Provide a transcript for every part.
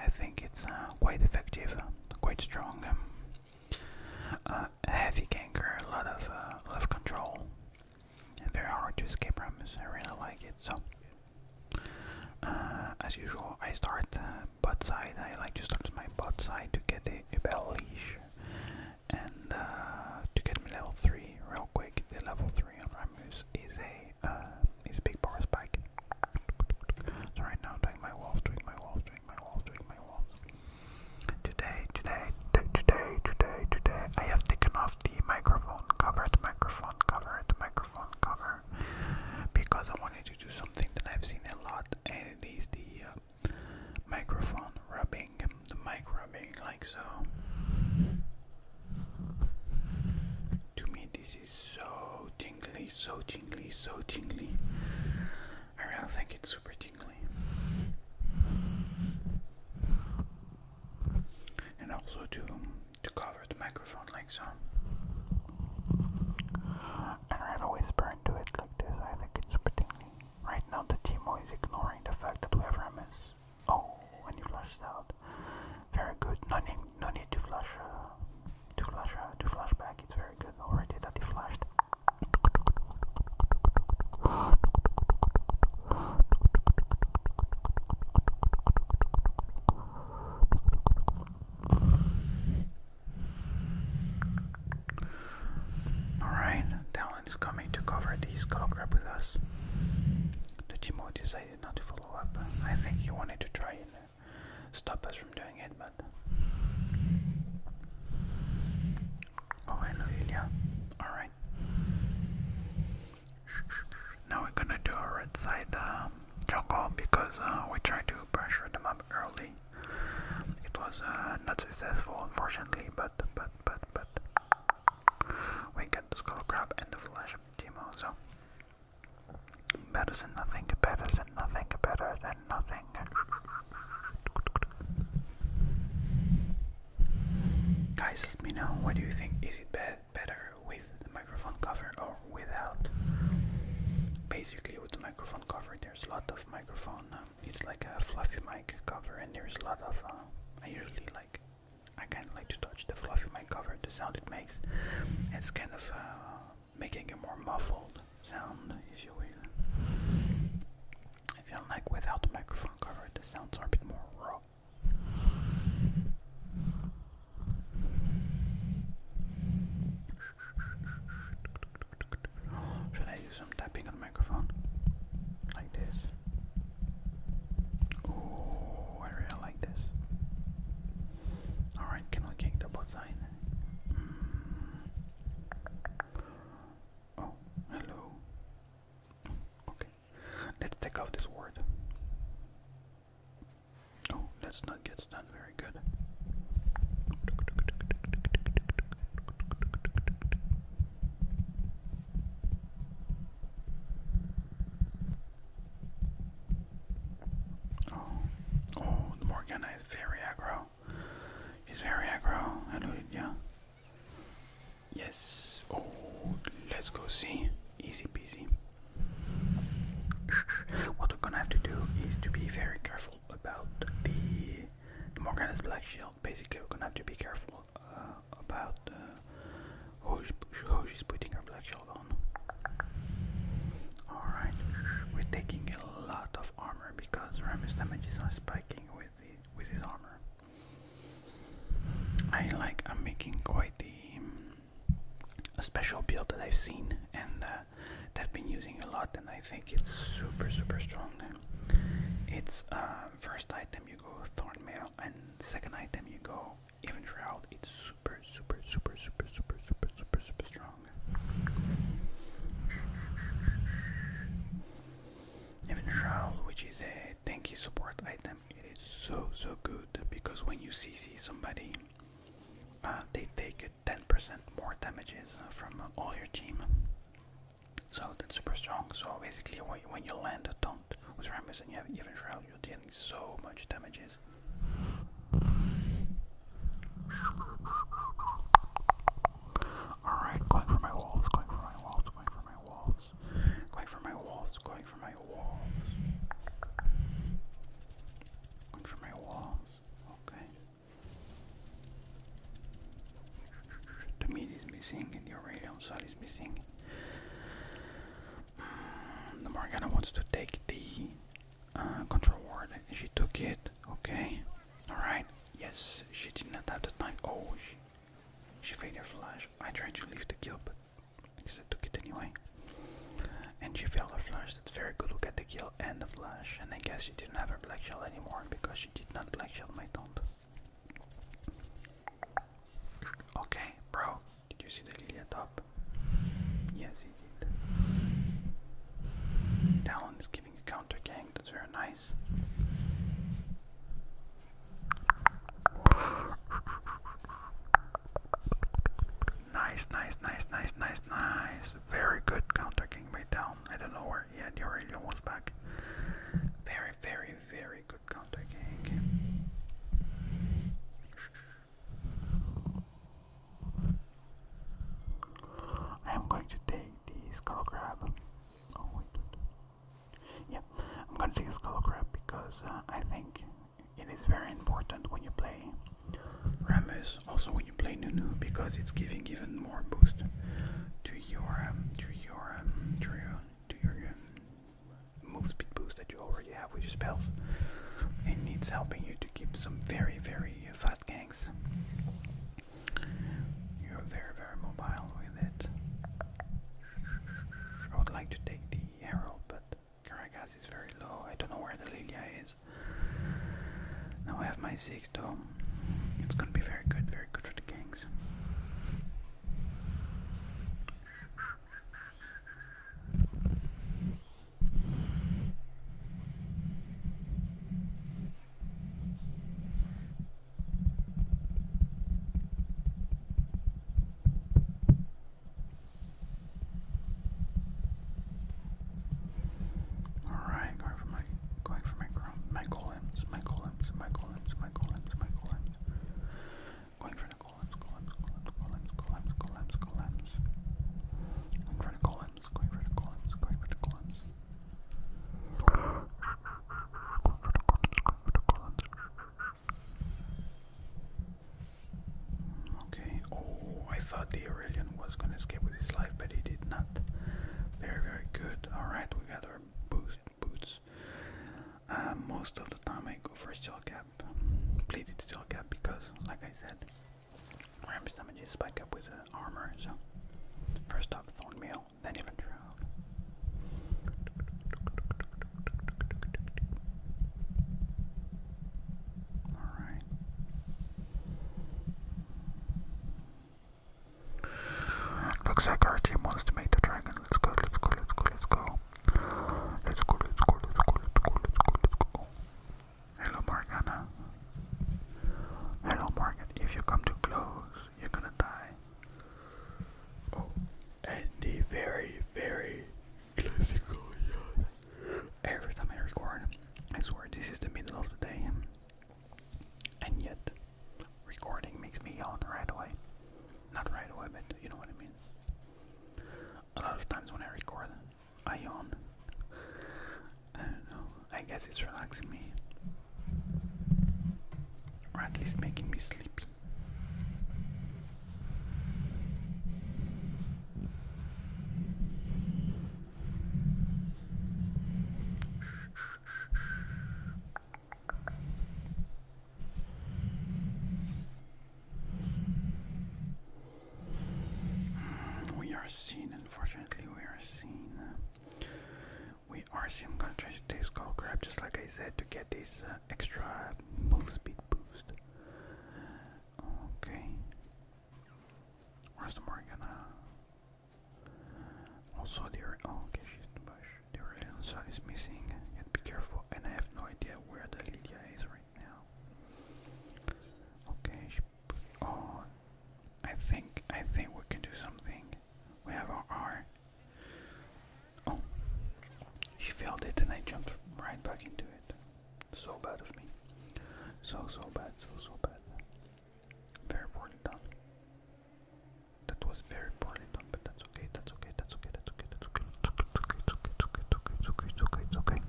I think it's uh, quite effective, quite strong, um, uh, heavy ganker, a lot of uh, control, and very hard to escape from. I really like it. So. Uh, as usual, I start uh, side. I like to start with my butt side to get the bell leash and to get my level 3 real quick. The level 3 on Ramus is a He's a big bar spike. So right now I'm doing my walls, doing my walls, doing my walls, doing my walls. Today, today, today, today, today, I have taken off the microphone cover, the microphone cover, the microphone cover, because I wanted to do something that I've seen a lot, and it is the uh, microphone rubbing, the mic rubbing, like so. To me, this this so jingly, so jingly, so jingly. I really think it's super tingly. And also to to cover the microphone like so. And i whisper into it like this. I think it's super tingly. Right now the Timo is ignoring the fact that we have MS. Oh, and you flashed out. Very good. No need, no need to flash, uh, to flash, uh, to flash back. It's very good already that he flashed. Alright, Talon is coming to cover the skull crab with us. The not to follow up. I think he wanted to try and uh, stop us from doing it, but. Oh, hello, Alright. Now we're gonna do a red side um, uh, because we tried to pressure them up early. It was uh, not successful, unfortunately, but, but, but, but. We got the skull crab and the flash of Timo, so Better than nothing, better than nothing, better than nothing. Guys, let me know what do you think. Is it better with the microphone cover or without? Basically, with the microphone cover, there's a lot of microphone. Um, it's like a fluffy mic cover, and there's a lot of. Uh, I usually like. I kind of like to touch the fluff in my cover, the sound it makes. It's kind of uh, making a more muffled sound, if you will. like without the microphone cover, the sounds are a bit more raw. Should I do some tapping on the microphone? Like this. Oh, I really like this. Alright, can we kick the bot side? Mm. Oh, hello. Okay, let's take off this word. Oh, let's not get stunned. Very good. Oh, oh, the is very aggro. He's very aggro. I yeah. Yes. Oh, let's go see. Easy peasy. What we're gonna have to do is to be very careful about the, Morgan's Black Shield. Basically, we're gonna have to be careful article uh, about uh, she's putting her black shield on. Alright, we're taking a lot of armor because Ram's damages are spiking with with his armor. I like I'm making quite the special build that I've seen and uh, that I've been using a lot and I think it's super super strong. It's uh, first item you go Thornmail, and second item you go Even Shroud. It's super, super, super, super, super, super, super, super strong. Even Shroud, which is a tanky support item, it is so, so good because when you CC somebody, uh, they take 10% more damages from all your team. So that's super strong. So basically, when you land a taunt, you are dealing so much damages. Alright, going for my walls, going for my walls, going for my walls, going for my walls, going for my walls. okay. The meat is missing in the Aurelian Sally missing. Mm, the Morgana wants to take the uh, control ward. She took it. Okay. Alright. Yes, she did not have the time. Oh, she, she failed her flash. I tried to leave the kill, but she guess took it anyway. And she failed her flash. That's very good. Look at the kill and the flash. And I guess she didn't have her black shell anymore because she did not black shell my tomb. Okay, bro, did you see the lily at top? Yes, he did. Talon is giving a counter gang, that's very nice. Nice, nice, nice, nice, nice, nice. Very good counter king by Talon. I don't know where he had the Aurelion was back. Very, very, very good counter-gank. Eh, I am going to take the skull crab. Oh wait, yeah, I'm going to take a skull crab because uh, I think it is very important when you play Ramus, also when you play Nunu, because it's giving even more boost to your um, to your um, to your to your uh, move speed boost that you already have with your spells. It needs helping you to keep some very, very fast ganks. You're very, very mobile with it. I would like to take the arrow, but Caracas is very low. I don't know where the Lilia is. Now I have my 6 though. It's gonna be very good, very good for the ganks. All right, going for my going for my my golems, my golems. Going for the columns, columns, columns, columns, columns, columns, columns. Going for columns, columns, columns. columns, columns. Okay, oh, I thought the Aurelian was gonna escape with his life, but he did not. Very, very good. Alright, we got our boost boots. Uh, most of the time I go for steel cap, plated steel cap, because like I said, Rampage damages spike up with armor, so first off Thornmail, then Infantry Alright. Looks like our team wants to make the dragon. Let's go, let's go, let's go, let's go. Let's go, let's go, let's go, let's go, let's go, let's go. Hello, Morgana. Hello, Morgan. If you come too close, you're gonna die. Oh, and the very, very classical. Every time I record, I swear this is the middle of the day. And yet, recording makes me yawn right away. Not right away, but you know what I mean. A lot of times when I record, I yawn. I don't know, I guess it's relaxing me. Or at least making me sleepy. We are seen, unfortunately, we are seen. We are seen. I'm gonna try to take skull crab just like I said to get this uh, extra move speed boost. Okay. Where's the Morgana? Also, the oh, okay, she's in the bush. The Aurelion uh, Sun is missing. Yet be careful, and I have no idea where the Lilia is right now. Okay, she put, oh, I think I think we can do something. We have our R. Oh, she failed it, and I jumped right back into it. So bad of me. So so bad. So so bad. Very poorly done. That was very poorly done, but that's okay, that's okay, that's okay, that's okay, that's okay, it's okay, it's okay, it's okay, it's okay, it's okay, it's okay, it's okay.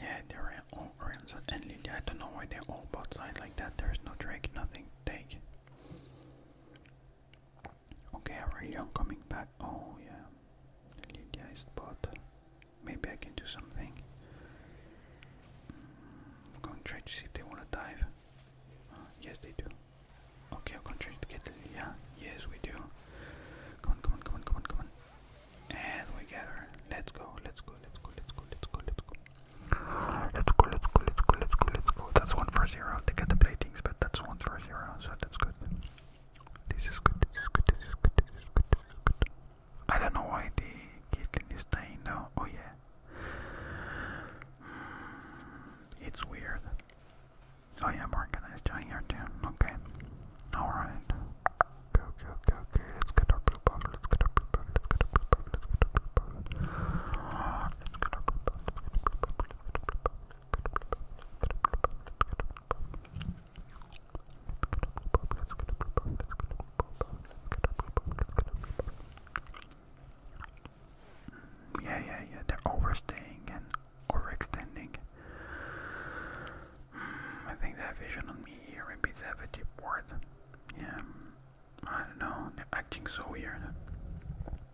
Yeah, they're all Ransom and Lilia. I don't know why they're all both sides like that. There's no Drake, nothing. Take. Okay, Aurelion coming back. Oh, yeah. Lydia is bought. Maybe I can do something. Mm, I'm going to try to see if they want to dive. Uh, yes, they do. Okay, I'm going to try to get Lydia. Yes, we do. Come on, come on, come on, come on, come on. And we get her. Let's go, let's go, let's go, let's go, let's go, let's go. Let's go, let's go, let's go, let's go, let's go. That's one for zero. They get the platings, but that's one for zero so that's good. This is good, this is good, this is good, this is good, I don't know why the Caitlyn is staying now. Oh yeah. Mm, it's weird. Oh yeah, I'm organized here too. Okay. Alright. Go, go, go, go. Let's get our blue buff, let's get our blue buff, let's get our blue buff, let's get our blue buff. Let's get our blue buff, yeah, yeah, yeah, they're overstaying and overextending. Hmm, I think they have vision on me here, maybe they have a deep ward. Yeah, I don't know, they're acting so weird.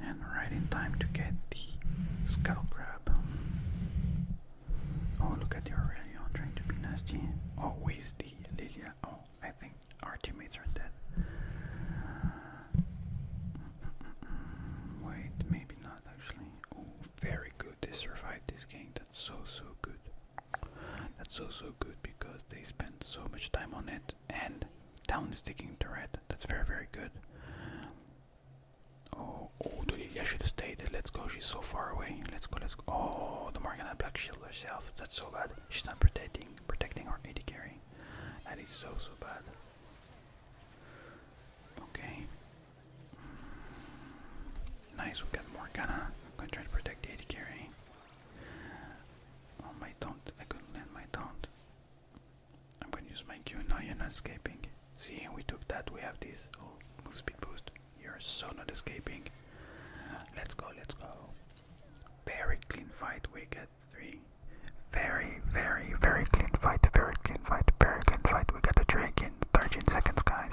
And right in time to get the skull crab. Oh, look at the Aurelio trying to be nasty. Always oh, the Lilia. Oh, I think our teammates are dead. Wait, maybe not actually. Oh, very good. They survived this game. That's so, so good. That's also good because they spend so much time on it, and town is taking to red. That's very, very good. Oh, oh, the Lilia should have stayed. Let's go, she's so far away. Let's go, let's go. Oh, the Morgana Black Shield herself. That's so bad. She's not protecting protecting our AD carry. That is so, so bad. Okay, Nice, we got more gunna. I'm gonna try to protect the carry. Oh my taunt, I couldn't land my taunt. I'm gonna use my Q, now you're not escaping. See, we took that, we have this. Oh, move speed boost. You're so not escaping. Let's go, let's go. Very clean fight, we get three. Very, very, very clean fight, very clean fight, very clean fight. We get the drake 13, seconds, guys.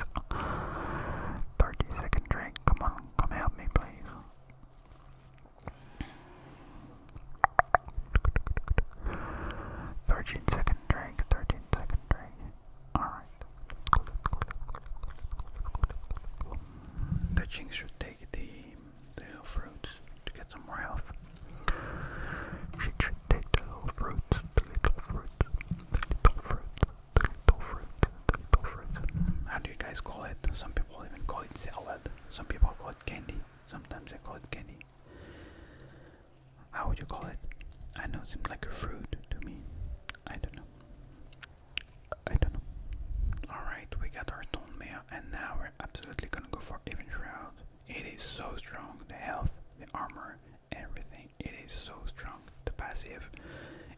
Thirteen second drink. Come on, come help me, please. 13 second drink, 13 second drink. Alright. The Jinx should take the, the fruits to get some more She should take the fruits. How do you guys call it? Some people even call it salad. Some people call it candy. Sometimes they call it candy. How would you call it? I know it seems like a fruit to me. I don't know. I don't know. Alright, we got our Tonmea and now we're absolutely gonna go for Even Shroud. It is so strong, the health, the armor, everything. It is so strong. The passive,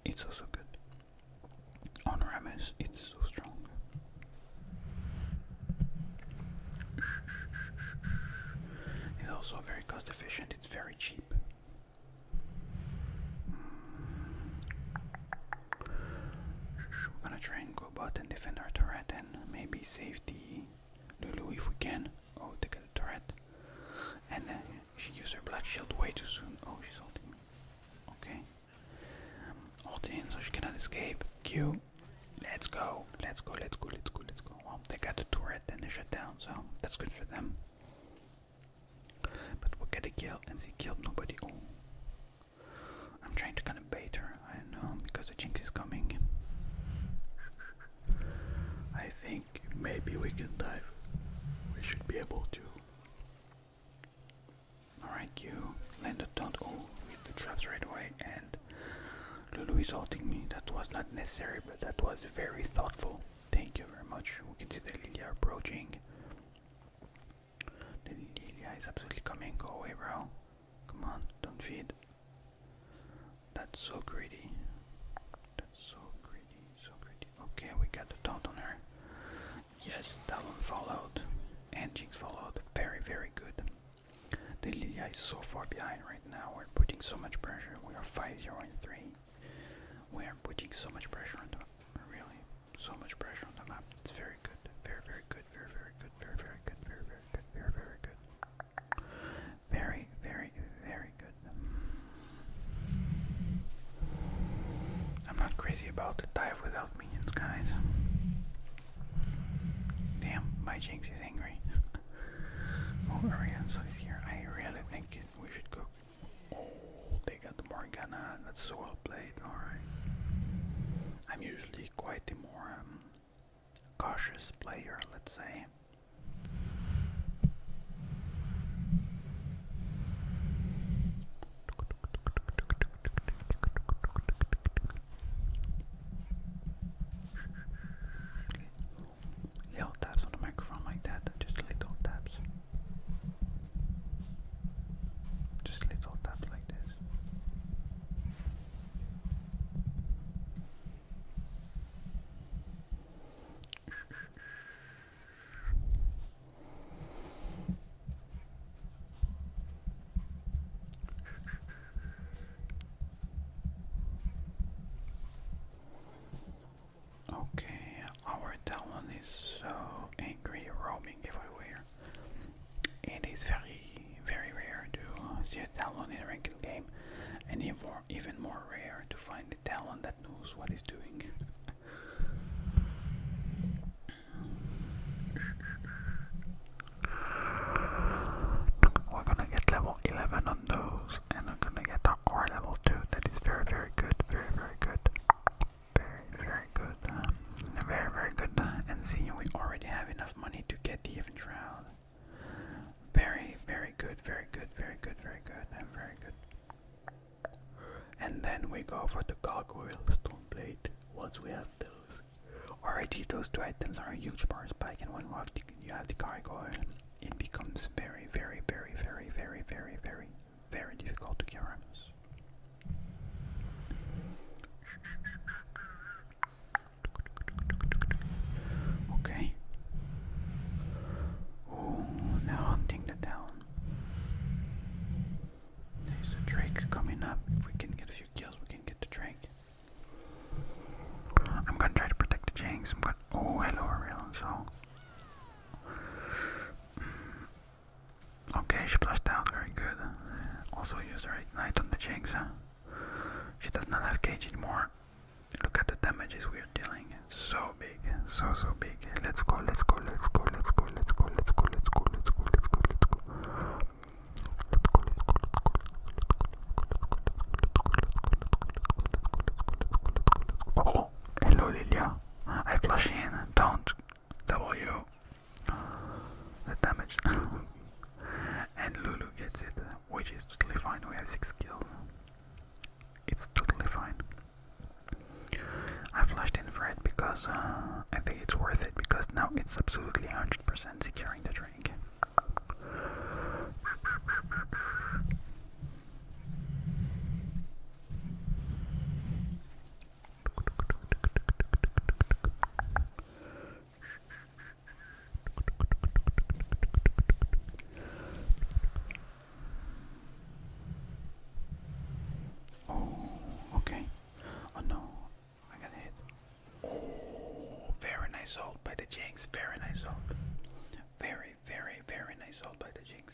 it's also good. On Ramus, it's so strong. It's also very cost efficient, it's very cheap. We're gonna try and go bot and defend our turret and maybe save the Lulu if we can. Oh, they got a turret. And uh, she used her black shield way too soon. Oh, she's holding. Okay. Um, in so she cannot escape. Q. Let's go. Let's go, let's go, let's go, let's go. Well, they got the turret and they shut down, so that's good for them. But we'll get a kill, and they killed nobody. Oh. I'm trying to kind of bait her, I don't know, because the Jinx is coming. I think maybe we can dive. We should be able to. Alright, you landed Don't all with the traps right away, and Lulu is halting me. That was not necessary, but that was very thoughtful. Thank you very much. We can see the Lilia approaching. The Lilia is absolutely coming. Go away, bro. Come on, don't feed. That's so greedy. That's so greedy, so greedy. Okay, we got the taunt on her. Yes, that one followed. And Jinx followed. Very, very good. The Lilia is so far behind right now. We're putting so much pressure. We are 5 0 and 3. We are putting so much pressure on the really so much pressure on the map. It's very good. Very very good. Very very good. Very very good. Very very good. Very very good. Very, very, very good. I'm not crazy about the dive without minions, guys. Damn, my Jinx is angry. oh, Morgana is here. I really think we should go. Oh, they got Morgana. That's so well played. Alright. I'm usually quite the um, cautious player, let's say. Little taps on the microphone like that, just little taps. Just little taps like this. Okay, our town is so angry roaming everywhere. It is very very rare to see a talon in a regular game, and even more, even more rare to find a talon that knows what he's doing. We're gonna get level 11 on those, and I'm gonna get our R level 2. That is very, very good, very, very good, very, very good, um, very, very good. And seeing we already have enough money to get the event round. Very, very good, very good, very good, very good, and very good. And then we go for the gargoyle stone blade once we have those. Already those two items are a huge power spike and when you have the, you have the gargoyle it becomes very, very, very, very, very, very, very, very difficult to Kyramus. Okay. Oh, they're hunting the town. There's a Drake coming up. If we can get a few kills, we can get the Drake. I'm gonna try to protect the Jinx. i Oh, hello, Aurelion. So. Okay, she flushed down. Very good. Also, use the her ignite on the Jinx, huh? She does not have cage anymore. Look at the damages we are dealing. So big, so so big. Let's go, let's go, let's go, let's go, let's go, let's go, let's go, let's go, let's go, let's go. Oh, hello Lilia. I flush in. Don't W. The damage. And Lulu gets it, which is totally fine, we have 6 kills. It's totally fine. I flashed in Fred because uh, I think it's worth it, because now it's absolutely 100% securing the drink. Oh, okay. Oh no, I got hit. Oh, very nice ult by the Jinx. Very nice ult. Very, very, very nice ult by the Jinx.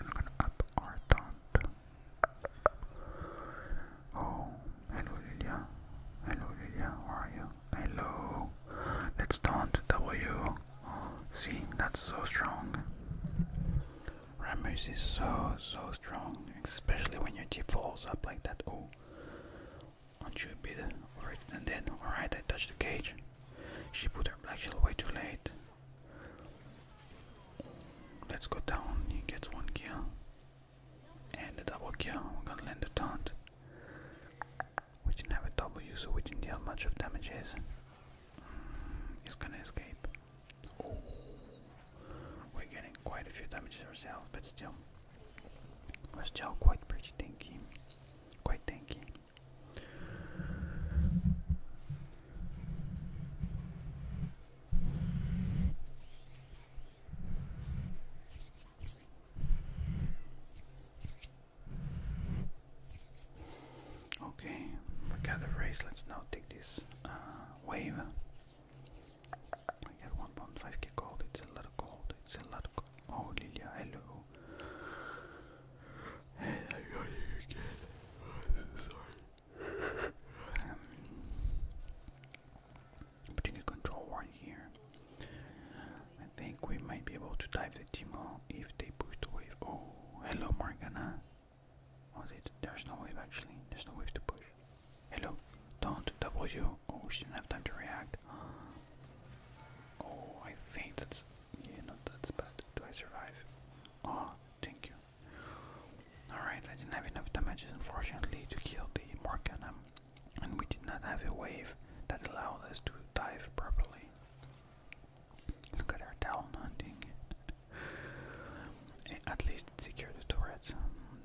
I'm gonna up our taunt. Oh, hello Lilia. Hello Lilia, how are you? Hello. Let's not W. Oh, see, that's so strong. Ramus is so, so strong, especially when your tip falls up like that. Oh, aren't you a bit overextended? Alright, I touched the cage. She put her black shell way too late. Let's go down. He gets one kill. And a double kill. We're gonna land a taunt. We didn't have a W, so we didn't deal much of damage. Is mm, he's gonna escape? Oh. we're getting quite a few damages ourselves, but still, we're still quite pretty tanky. Quite tanky. Okay, forget the race. Let's now take this uh, wave. I get 1.5k gold. It's a lot of gold. It's a lot of gold. Oh, Lilia, hello. Hey, I got you again. sorry. Um, but control one here. I think we might be able to dive the Timo if they push the wave. Oh, hello Morgana. Was oh, it? There's no wave actually. There's no wave to push. Hello. Don't W. Oh, she didn't have time to react. Oh, I think that's yeah, not that bad. Do I survive? Oh, thank you. Alright, I didn't have enough damages, unfortunately, to kill the Morganum, and we did not have a wave that allowed us to dive properly. Look at our down hunting. at least secure the turret.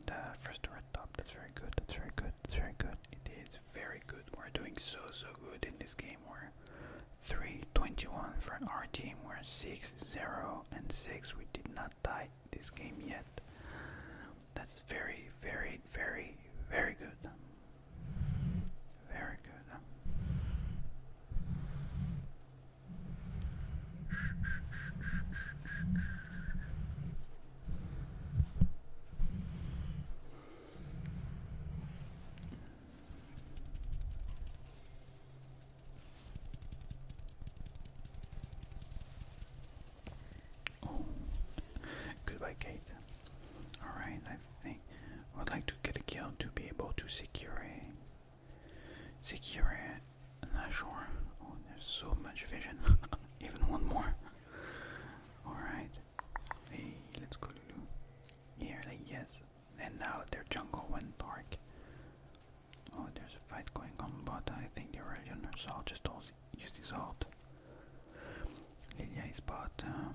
The first turret top, that's very good, that's very good, that's very good. It is very good. We're doing so so good in this game. We're 321 for our team. We're 6 0 and 6. We did not tie this game yet. That's very, very, very, very good. Very good. Oh. goodbye, Kate. Alright, I think I would like to get a kill to be able to secure a. Secure a. I'm not sure. Oh, there's so much vision. Even one more. Alright. Hey, let's go Here, like yes. And now their jungle went dark. Oh, there's a fight going on, but I think they're already on her, so I'll just use this ult. Lilia is um,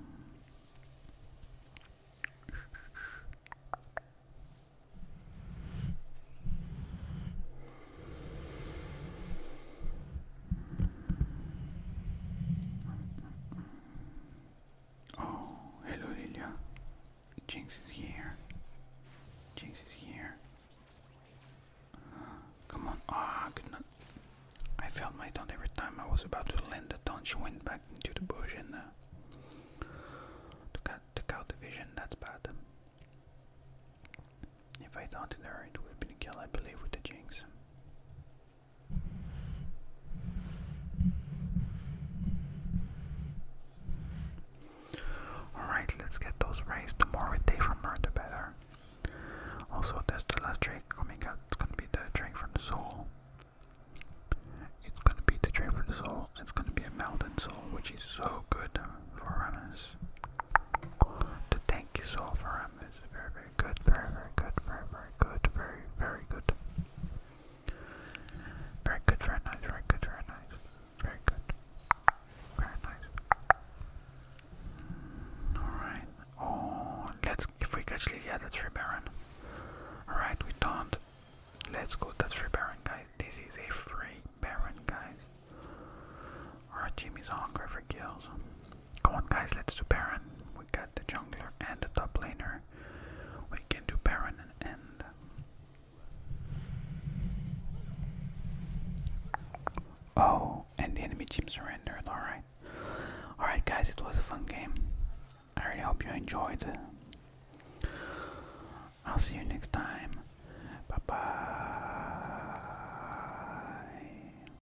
Oh, hello Lilia. Jinx is here. Jinx is here. come on. Ah, oh, I felt my taunt every time I was about to land the taunt. She went back into the bush and uh, took, out, took the vision. That's bad. If I taunted her, it would have been I believe, with the Jinx. Alright, let's get those rays. The more we take from her, the better. Also, that's the last drink coming oh out. It's gonna be the drink from the soul. It's gonna be the drink from the soul. It's gonna be a mountain soul, which is so good for Aramis. The tanky soul for Aramis very good, very, very good, very, very good, very, very good. Very good, very nice, very good, very nice, very good, very nice. Alright, oh, let's, if we actually, yeah, that's Rebaron. Alright, we don't. Let's go, that's free baron, guys. This is a free baron, guys. Our team is hungry for kills. Come on guys, let's do Baron. We got the jungler and the top laner. We can do Baron and Oh, and the enemy team surrendered, alright. Alright guys, it was a fun game. I really hope you enjoyed. I'll see you next time. Bye bye.